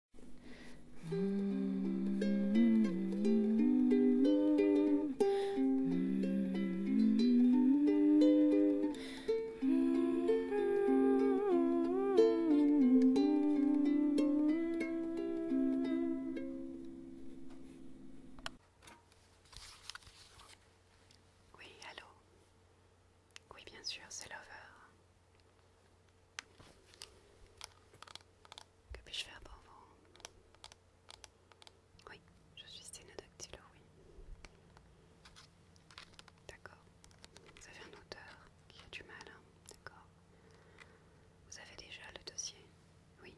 Oui, allô Oui, bien sûr, c'est Lover. Que puis-je faire pour vous Oui, je suis sténodactylo, oui. D'accord. Vous avez un auteur qui a du mal, hein, d'accord. Vous avez déjà le dossier Oui.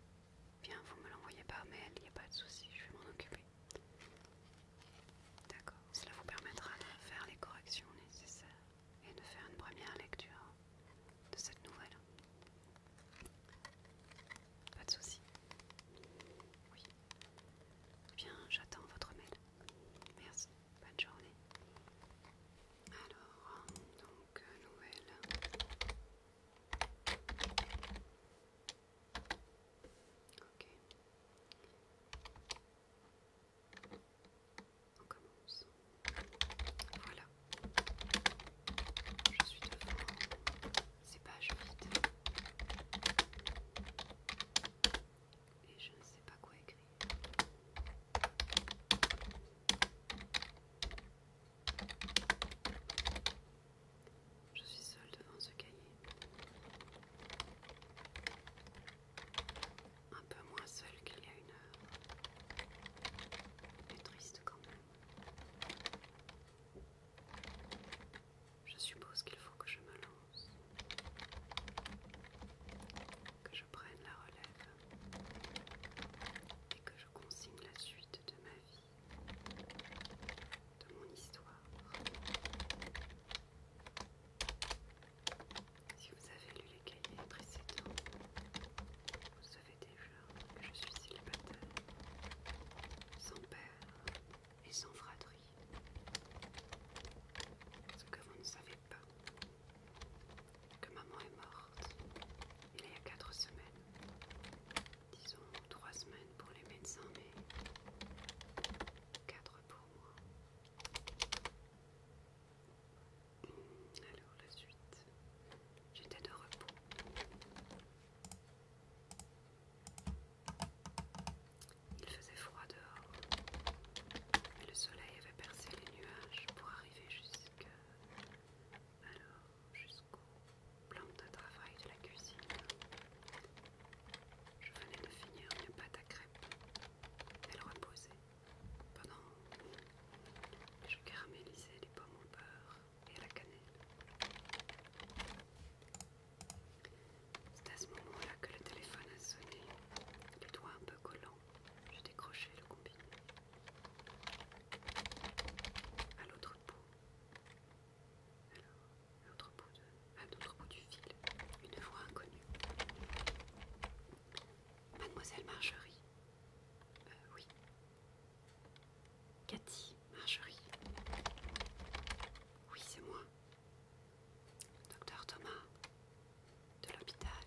Bien, vous me l'envoyez par mail, il n'y a pas de souci, je vais m'en occuper. D'accord. Cela vous permettra de faire les corrections nécessaires et de faire une première lecture de cette nouvelle. Pas de souci. Oui. Eh bien, j'attends votre mail. Merci. Bonne journée. Alors, donc, euh, nouvelle. Ok. On Voilà. Je suis devant ces pages vides. Et je ne sais pas quoi écrire. Je suis seule devant ce cahier un peu moins seul qu'il y a une heure. Mais triste quand même. Je suppose qu'il faut que je me lance, que je prenne la relève et que je consigne la suite de ma vie, de mon histoire si vous avez lu les cahiers précédents, vous savez déjà que je suis célibataire, sans père et sans fratrie. Ce que vous ne savez pas, que maman est morte il y a 4 semaines, disons 3 semaines pour les médecins, mais 4 pour moi. Alors la suite, j'étais de repos. Il faisait froid dehors, mais le soleil avait percé les nuages pour arriver jusqu'à... jusqu'au plan de travail de la cuisine. Je venais de finir une pâte à crêpes. Elle reposait pendant que je caramélisais les pommes au beurre et à la cannelle. C'est à ce moment-là que le téléphone a sonné. Les doigts un peu collants, j'ai décroché le combiné. À l'autre bout, l'autre bout du fil, une voix inconnue. Mademoiselle Marjorie. Euh, oui. Cathy, Marjorie. Oui, c'est moi. Docteur Thomas, de l'hôpital.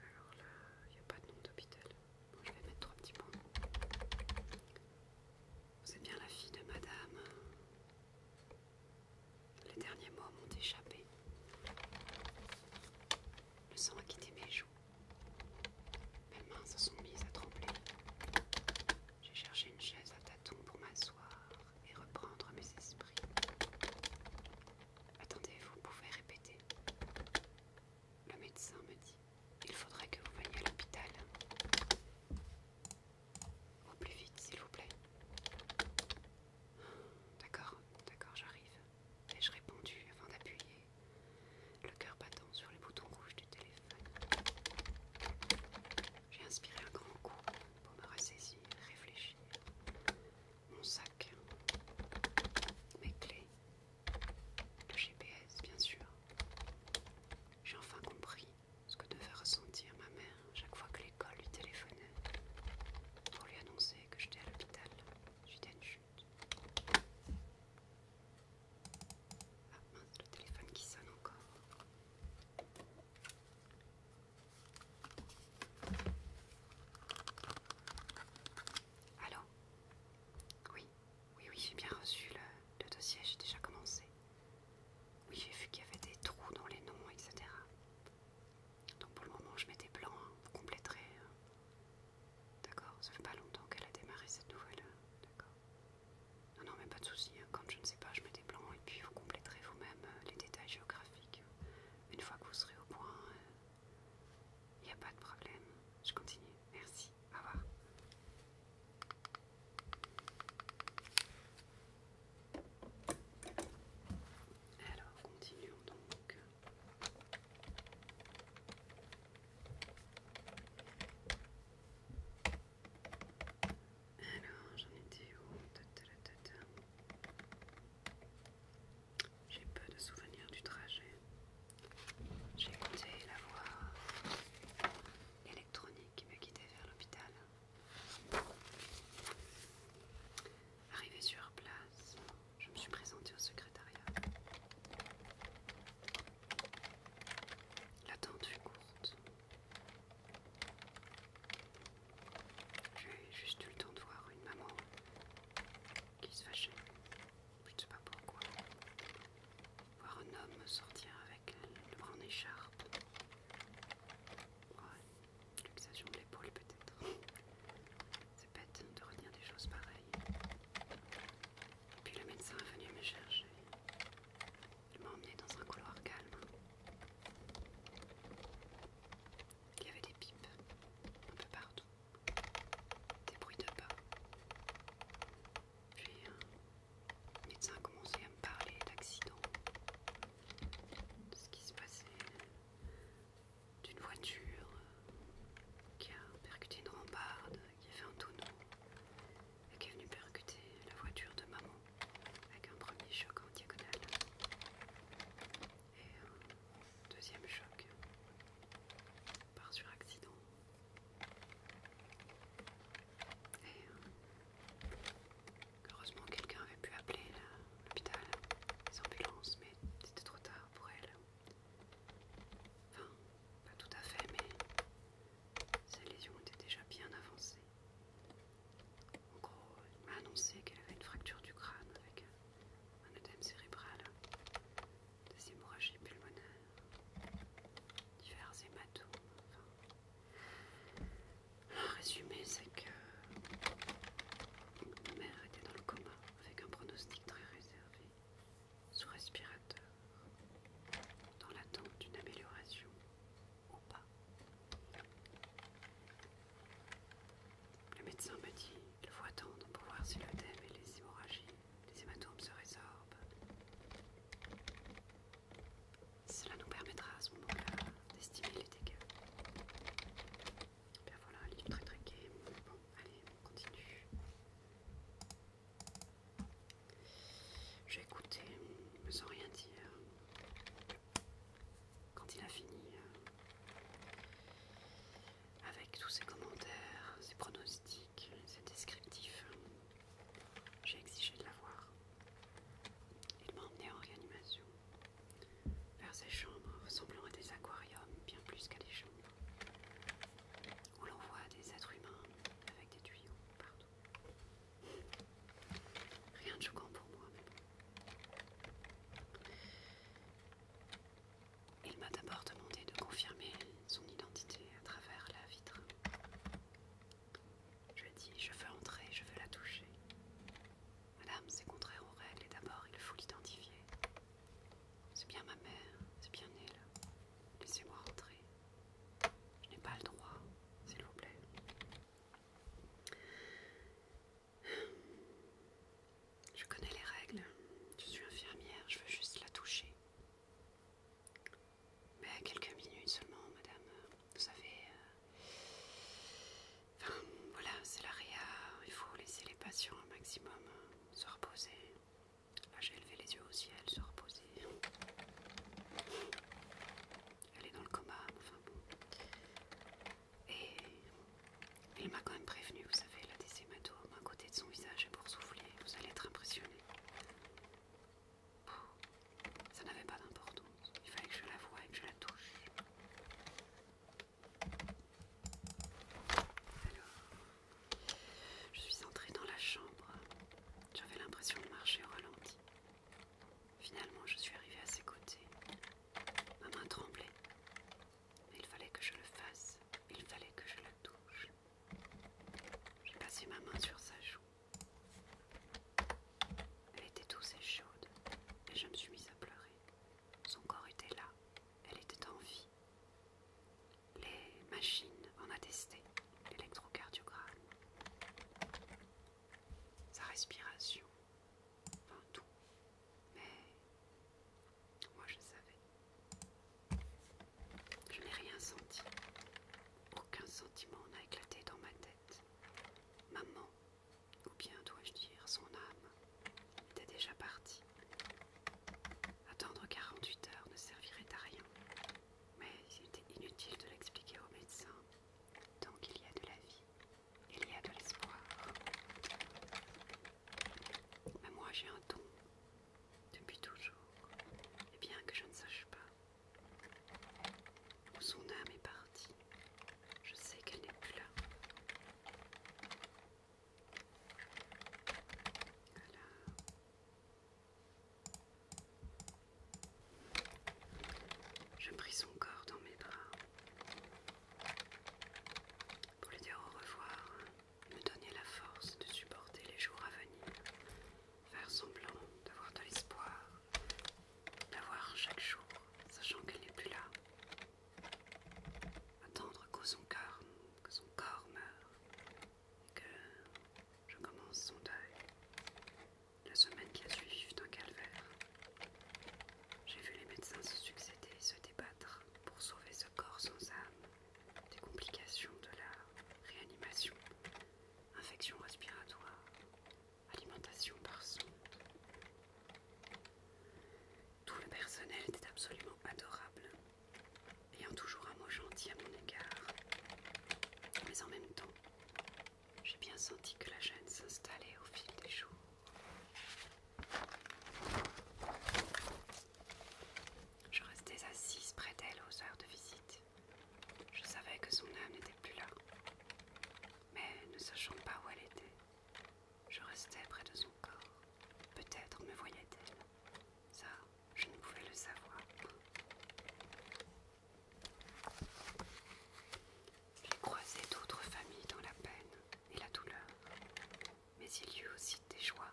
Alors là, il n'y a pas de nom d'hôpital. Bon, je vais mettre trois petits points. Vous êtes bien la fille de madame les derniers mots m'ont échappé. Le sang a quitté mes joues. Mes mains se sont mises à trembler. J'ai cherché une chaise à tâtons pour m'asseoir et reprendre mes esprits. Attendez, vous pouvez répéter. Le médecin me dit, il faudrait que vous veniez à l'hôpital. Au plus vite, s'il vous plaît. D'accord, d'accord, j'arrive. Ai-je répondu avant d'appuyer le cœur battant sur les boutons rouges du téléphone J'ai inspiré un grand coup pour me ressaisir, réfléchir. Mon sac, mes clés, le GPS, bien sûr. J'ai enfin compris ce que devait ressentir ma mère chaque fois que l'école lui téléphonait pour lui annoncer que j'étais à l'hôpital J'étais à une chute. Ah mince, le téléphone qui sonne encore. Allô Oui, oui, oui, j'ai bien reçu le dossier, j'ai déjà commencé. Oui, j'ai vu qu'il y avait des trous dans les noms, etc. Donc pour le moment, je mets des plans, hein, Vous compléterez. Hein. D'accord Ça fait pas longtemps qu'elle a démarré cette nouvelle. Hein. D'accord Non, non, mais pas de souci. comme Quand je ne sais pas, je mets des plans et puis vous compléterez vous-même euh, les détails géographiques. Une fois que vous serez au point, euh, il n'y a pas de problème. Je continue. Merci. Au revoir. Alors, continuons donc. Alors, j'en étais où J'ai peu de souvenirs du trajet. J'ai compté la voix électronique qui m'a quitté vers l'hôpital. Arrivée sur place, je me suis présentée au secrétariat. L'attente fut courte. J'ai juste eu le temps de voir une maman qui se fâchait. Je ne sais pas pourquoi. Voir un homme sortir avec le bras en écharpe Ouais, luxation de l'épaule peut-être. C'est bête de retenir des choses pareilles. Et puis le médecin est venu me chercher. Il m'a emmené dans un couloir calme. Il y avait des pipes un peu partout, des bruits de pas. Puis le médecin a commencé à me parler d'accident, de ce qui se passait, d'une voiture qui a percuté une rambarde, qui a fait un tonneau et qui est venue percuter la voiture de maman avec un premier choc en diagonale et un euh, deuxième choc par sur accident. Heureusement, quelqu'un avait pu appeler l'hôpital, les ambulances, mais c'était trop tard pour elle. Enfin, pas tout à fait, mais ses lésions étaient déjà bien avancées. En gros, elle m'a annoncé qu'elle avait une fracture du crâne avec un œdème cérébral, des hémorragies pulmonaires, divers hématomes, enfin. Un résumé, c'est que ma mère était dans le coma avec un pronostic très réservé, sous respirateur, dans l'attente d'une amélioration ou pas. Le médecin m'a dit qu'il faut attendre pour voir si le thème et les hémorragies, les hématomes se résorbent. Cela nous permettra à ce moment-là d'estimer les dégâts. Bien voilà, un livre très très Bon, allez, on continue. J'ai écouté, sans rien dire. Quand il a fini, euh, avec tous ses commentaires, ses pronostics, ses descriptifs, j'ai exigé de la voir. Il m'a emmené en réanimation, vers ces chambres ressemblant à des aquariums bien plus qu'à des chambres, où l'on voit des êtres humains avec des tuyaux partout. Rien de choquant pour moi, Il m'a d'abord demandé de confirmer son identité à travers la vitre. Je dis, je veux entrer, je veux la toucher. Madame, c'est contraire aux règles et d'abord il faut l'identifier. C'est bien ma mère, c'est bien elle. Laissez-moi entrer. Je n'ai pas le droit, s'il vous plaît. Je connais les règles. Je suis infirmière, je veux juste la toucher. Ben, quelques minutes seulement, madame. Vous savez. Euh, voilà, c'est la Il faut laisser les patients un maximum euh, se reposer. Là, j'ai levé les yeux au ciel, se reposer. Elle est dans le coma, enfin bon. Et il m'a quand même prévenu, vous savez, la des hématomes à côté de son visage pour souffler, Vous allez être impressionné. Ça n'avait pas d'importance. Il fallait que je la voie et que je la touche. je suis entrée dans la chambre. J'avais l'impression de marcher au ralenti. Finalement, je suis arrivée à ses côtés. Ma main tremblait. Mais il fallait que je le fasse. Il fallait que je la touche. J'ai passé ma main sur sa joue. Elle était douce et chaude, et je me suis mise à pleurer. Son corps était là, elle était en vie. Les machines en testé, l'électrocardiogramme, sa respiration, enfin tout. Mais moi je savais. Je n'ai rien senti. Aucun sentiment n'a éclaté dans ma tête. Maman, ou bien dois-je dire son âme, était déjà partie. Attendre 48 heures ne servirait à rien, mais il était inutile de l'expliquer au médecin. Tant qu'il y a de la vie, il y a de l'espoir. Mais moi j'ai un don, depuis toujours, et bien que je ne sache pas, son âme est partie. Je sais qu'elle n'est plus là. Je pris son corps dans mes bras pour lui dire au revoir, me donner la force de supporter les jours à venir, faire semblant d'avoir de l'espoir, la voir chaque jour, sachant qu'elle n'est plus là. Attendre que son que son corps meure, et que je commence son deuil. La semaine qui a suivi fut un calvaire. J'ai vu les médecins se succéder et se débattre pour sauver ce corps sans âme des complications de la réanimation, infection respiratoire, alimentation par son, Tout le personnel était absolument adorable, ayant toujours un mot gentil à mon égard. Mais en même temps, j'ai bien senti que la jeune s'installait au fil des jours. Je restais assise près d'elle aux heures de visite, je savais que son âme n'était plus là, mais ne sachant pas où elle était, je restais près de son corps. Peut-être me voyait-elle. Ça, je ne pouvais le savoir. J'ai croisé d'autres familles dans la peine et la douleur, mais il y eut aussi des joies.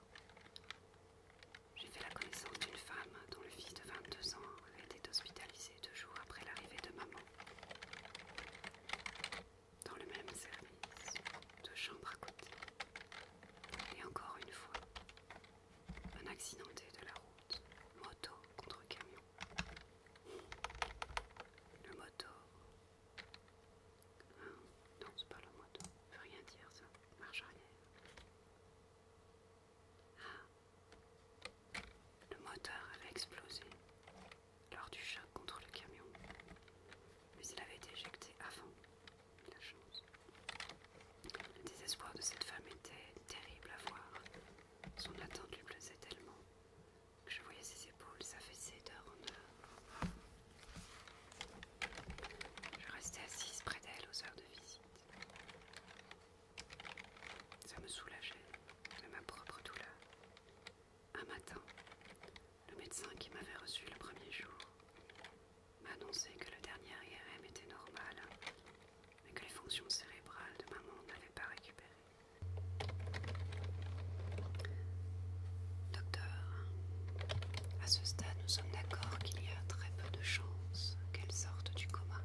J'ai fait la connaissance d'une femme dont le fils de 22 ans elle était hospitalisée deux jours après l'arrivée de maman. Dans le même service, deux chambres à côté. Et encore une fois, un accidenté de la route, moto contre camion. Le moto. Hein? Non, c'est pas le moto, veut rien dire ça, marche arrière. Ah. Le moteur avait explosé lors du choc contre le camion, mais il avait été éjecté avant la chance. Le désespoir de cette femme était terrible à voir. Son attente lui plaisait tellement que je voyais ses épaules s'affaisser d'heure en heure. Je restais assise près d'elle aux heures de visite. Ça me soulageait de ma propre douleur. Un matin, le médecin qui m'avait reçu le premier jour m'a annoncé que le dernier IRM était normal, mais que les fonctions cérébrales de maman n'avaient pas récupéré. Docteur, à ce stade, nous sommes d'accord qu'il y a très peu de chances qu'elle sorte du coma.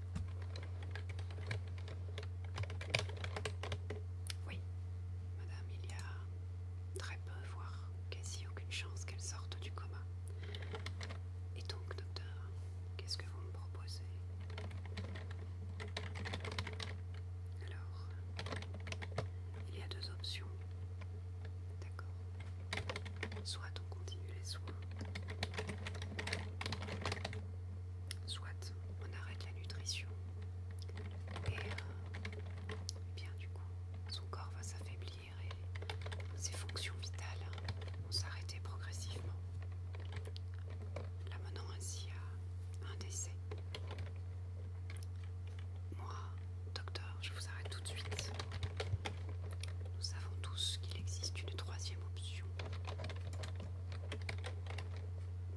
Oui, madame, il y a très peu, voire quasi aucune chance qu'elle sorte du coma. Et donc, docteur, qu'est-ce que vous me proposez Alors, il y a deux options. D'accord. Soit on continue les soins, soit on arrête la nutrition. Et euh, eh bien du coup, son corps va s'affaiblir et ses fonctions vitales hein, vont s'arrêter progressivement, l'amenant ainsi à un décès. Moi, docteur, je vous arrête tout de suite. Nous savons tous qu'il existe une troisième option.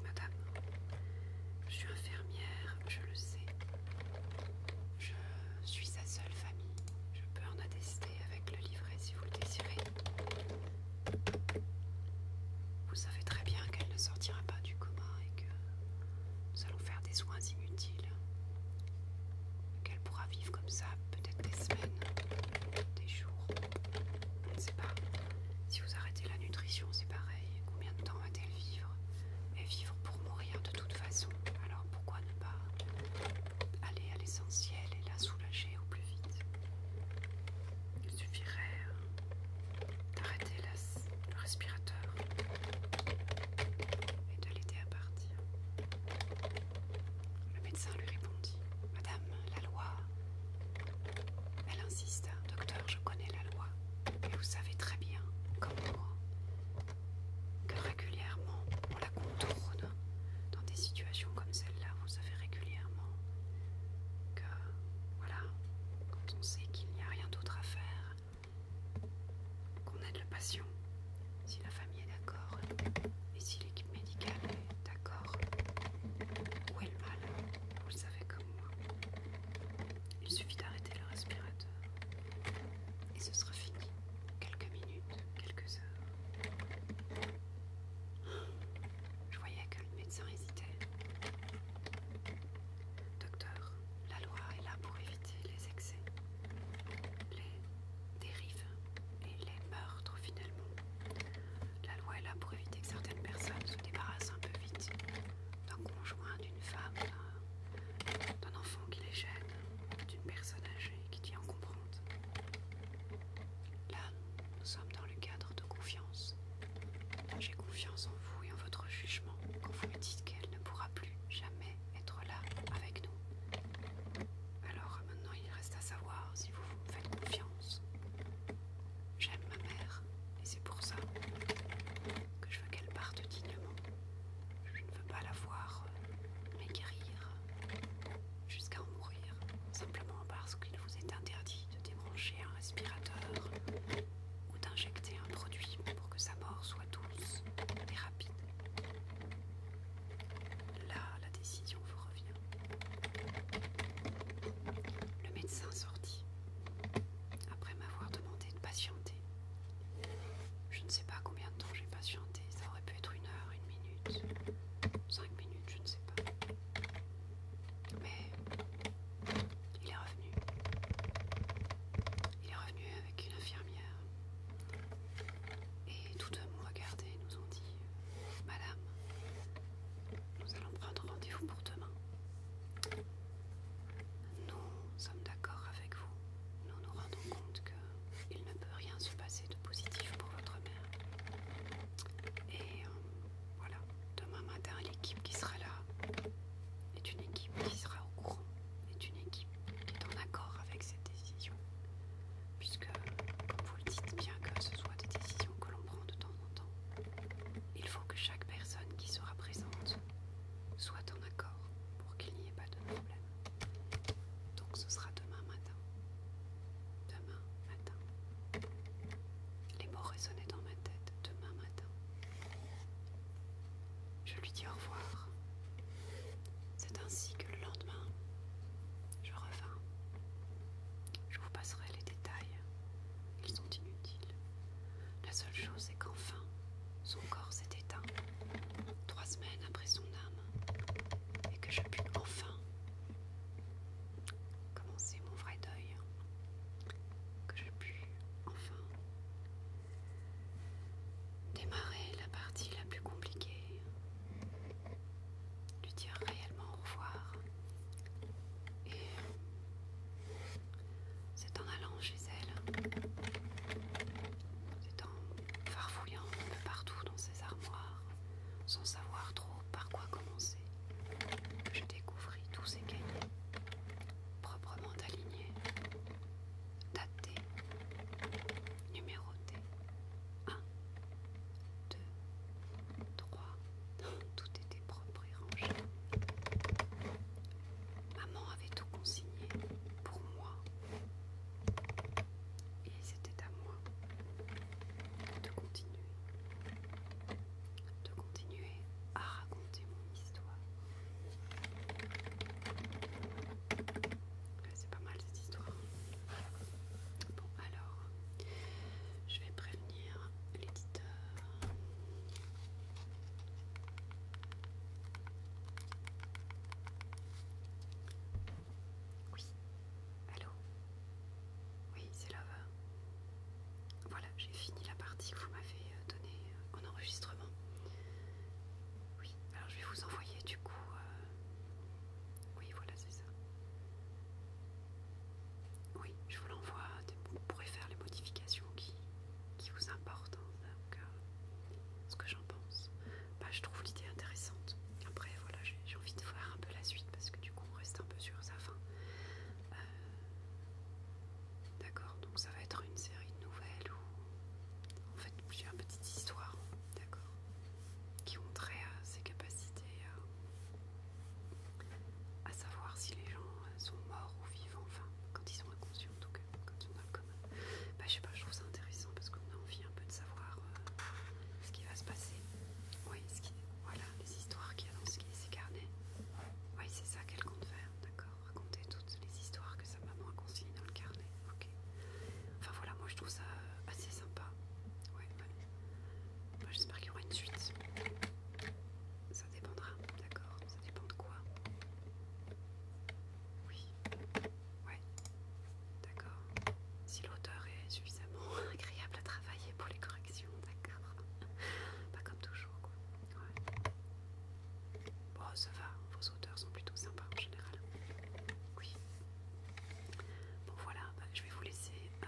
Madame, je suis infirmière, je le sais. Je suis sa seule famille. Je peux en attester avec le livret si vous le désirez. Vous savez très bien qu'elle ne sortira pas du commun et que nous allons faire des soins inutiles. Qu'elle pourra vivre comme ça peut-être des semaines, des jours, on ne sait pas. Si vous arrêtez la nutrition, c'est pareil. Combien de temps va-t-elle vivre Et vivre pour mourir de toute façon. Alors pourquoi ne pas aller à l'essentiel et la soulager au plus vite Il suffirait euh, d'arrêter le respirateur et de l'aider à partir. Le médecin lui répondit Madame, la loi. Elle insiste. Docteur, je connais la loi, et vous savez très bien, comme moi, que régulièrement on la contourne dans des situations comme celle-là. Vous savez régulièrement que, voilà, quand on sait qu'il n'y a rien d'autre à faire, qu'on aide le patient, si la famille est d'accord et si d'accord. » médical, d'accord. Où est le mal Vous le savez comme moi. Il suffit d'arrêter le respirateur. Et ce sera fini. Quelques minutes, quelques heures. Je voyais que le médecin hésitait. Docteur, la loi est là pour éviter les excès, les dérives et les meurtres finalement. La loi est là pour éviter que certaines personnes se débarrassent un peu vite d'un conjoint, d'une femme, d'un enfant qui les gêne, d'une personne âgée qui en comprendre. Là, nous sommes dans le cadre de confiance. J'ai confiance en vous et en votre jugement quand vous me dites qu'elle ne pourra plus jamais être là avec nous. Alors maintenant il reste à savoir si vous me faites confiance. J'aime ma mère et c'est pour ça que je veux qu'elle parte dignement. Je ne veux pas la voir guérir euh, jusqu'à en mourir, simplement parce qu'il vous est interdit de débrancher un respirateur ou d'injecter un produit pour que sa mort soit douce et rapide. Là, la décision vous revient. Le médecin sorti. après m'avoir demandé de patienter. Je ne sais pas combien de temps j'ai patienté, ça aurait pu être une heure, une minute, cinq minutes, je ne sais pas. Mais il est revenu. Il est revenu avec une infirmière. Et tous deux m'ont regardé et nous ont dit Madame, nous allons prendre rendez-vous pour demain. Nous sommes d'accord avec vous. Nous nous rendons compte qu'il ne peut rien se passer de positif pour votre mère. Et euh, voilà, demain matin, l'équipe qui sera là est une équipe qui sera au courant, est une équipe est en accord avec cette décision, puisque, comme vous le dites, bien que ce soit des décisions que l'on prend de temps en temps, il faut que chaque personne qui sera présente soit en accord pour qu'il n'y ait pas de problème. Donc ce sera demain matin. Demain matin. Les mots résonnaient dans ma tête. Demain matin. Je lui dis au revoir c'est ainsi que le lendemain, je revins. Je vous passerai les détails, ils sont inutiles. La seule chose c'est qu'enfin, son corps s'est éteint, trois semaines après son âme, et que je pu enfin commencer mon vrai deuil, que je pu enfin démarrer la partie la plus compliquée lui dire réellement au revoir. Et c'est en allant chez elle, c'est en farfouillant un peu partout dans ses armoires, sans savoir trop par quoi commencer, que je découvris tous ces cahiers proprement alignés daté, numéroté. 1, 2, 3. Tout était propre et rangé. Maman avait tout consigné pour moi. Et c'était à moi de continuer. De continuer à raconter mon histoire. C'est pas mal cette histoire. Bon, alors, je vais prévenir l'éditeur. Oui, allô Oui, c'est Love. Voilà, j'ai fini la partie que vous m'avez euh, donnée en euh, enregistrement. Oui, alors je vais vous envoyer du coup euh, oui, voilà, c'est ça. Oui, je vous l'envoie. Vous pourrez faire les modifications qui, vous importent. donc, hein, ce que j'en pense. Bah, je trouve l'idée intéressante. Après, voilà, j'ai envie de voir un peu la suite parce que du coup, on reste un peu sur sa fin. Euh, d'accord, donc ça va être une série de nouvelles ou en fait plusieurs petites histoires. D'accord qui ont trait à euh, capacités euh, à, savoir si les gens euh, sont morts ou vivants, enfin quand ils sont inconscients en tout cas, quand ils sont bah, je sais pas, je trouve ça intéressant parce qu'on a envie un peu de savoir ce qui va se passer. Oui, voilà, les histoires qu'il y a dans ces carnets. Oui, c'est ça qu'elle compte faire, d'accord Raconter toutes les histoires que maman a consigné dans le carnet. Ok. Enfin voilà, moi je trouve ça euh, assez sympa. Ouais, Moi j'espère qu'il y aura une suite. Ça dépendra, d'accord Ça dépend de quoi Oui. Ouais. D'accord. Si l'auteur est suffisamment agréable à travailler pour les corrections, d'accord Pas comme toujours, quoi. Ouais. Bon, ça va, auteurs sont plutôt sympas en général. Oui. Bon voilà, bah, je vais vous laisser. Euh,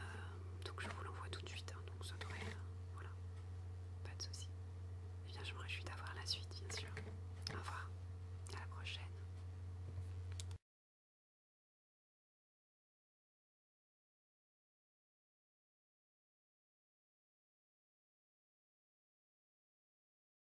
donc je vous l'envoie tout de suite. Hein, donc ça devrait. Euh, voilà. Pas de soucis. Eh bien je me réjouis d'avoir la suite, bien sûr. Au revoir. À la prochaine.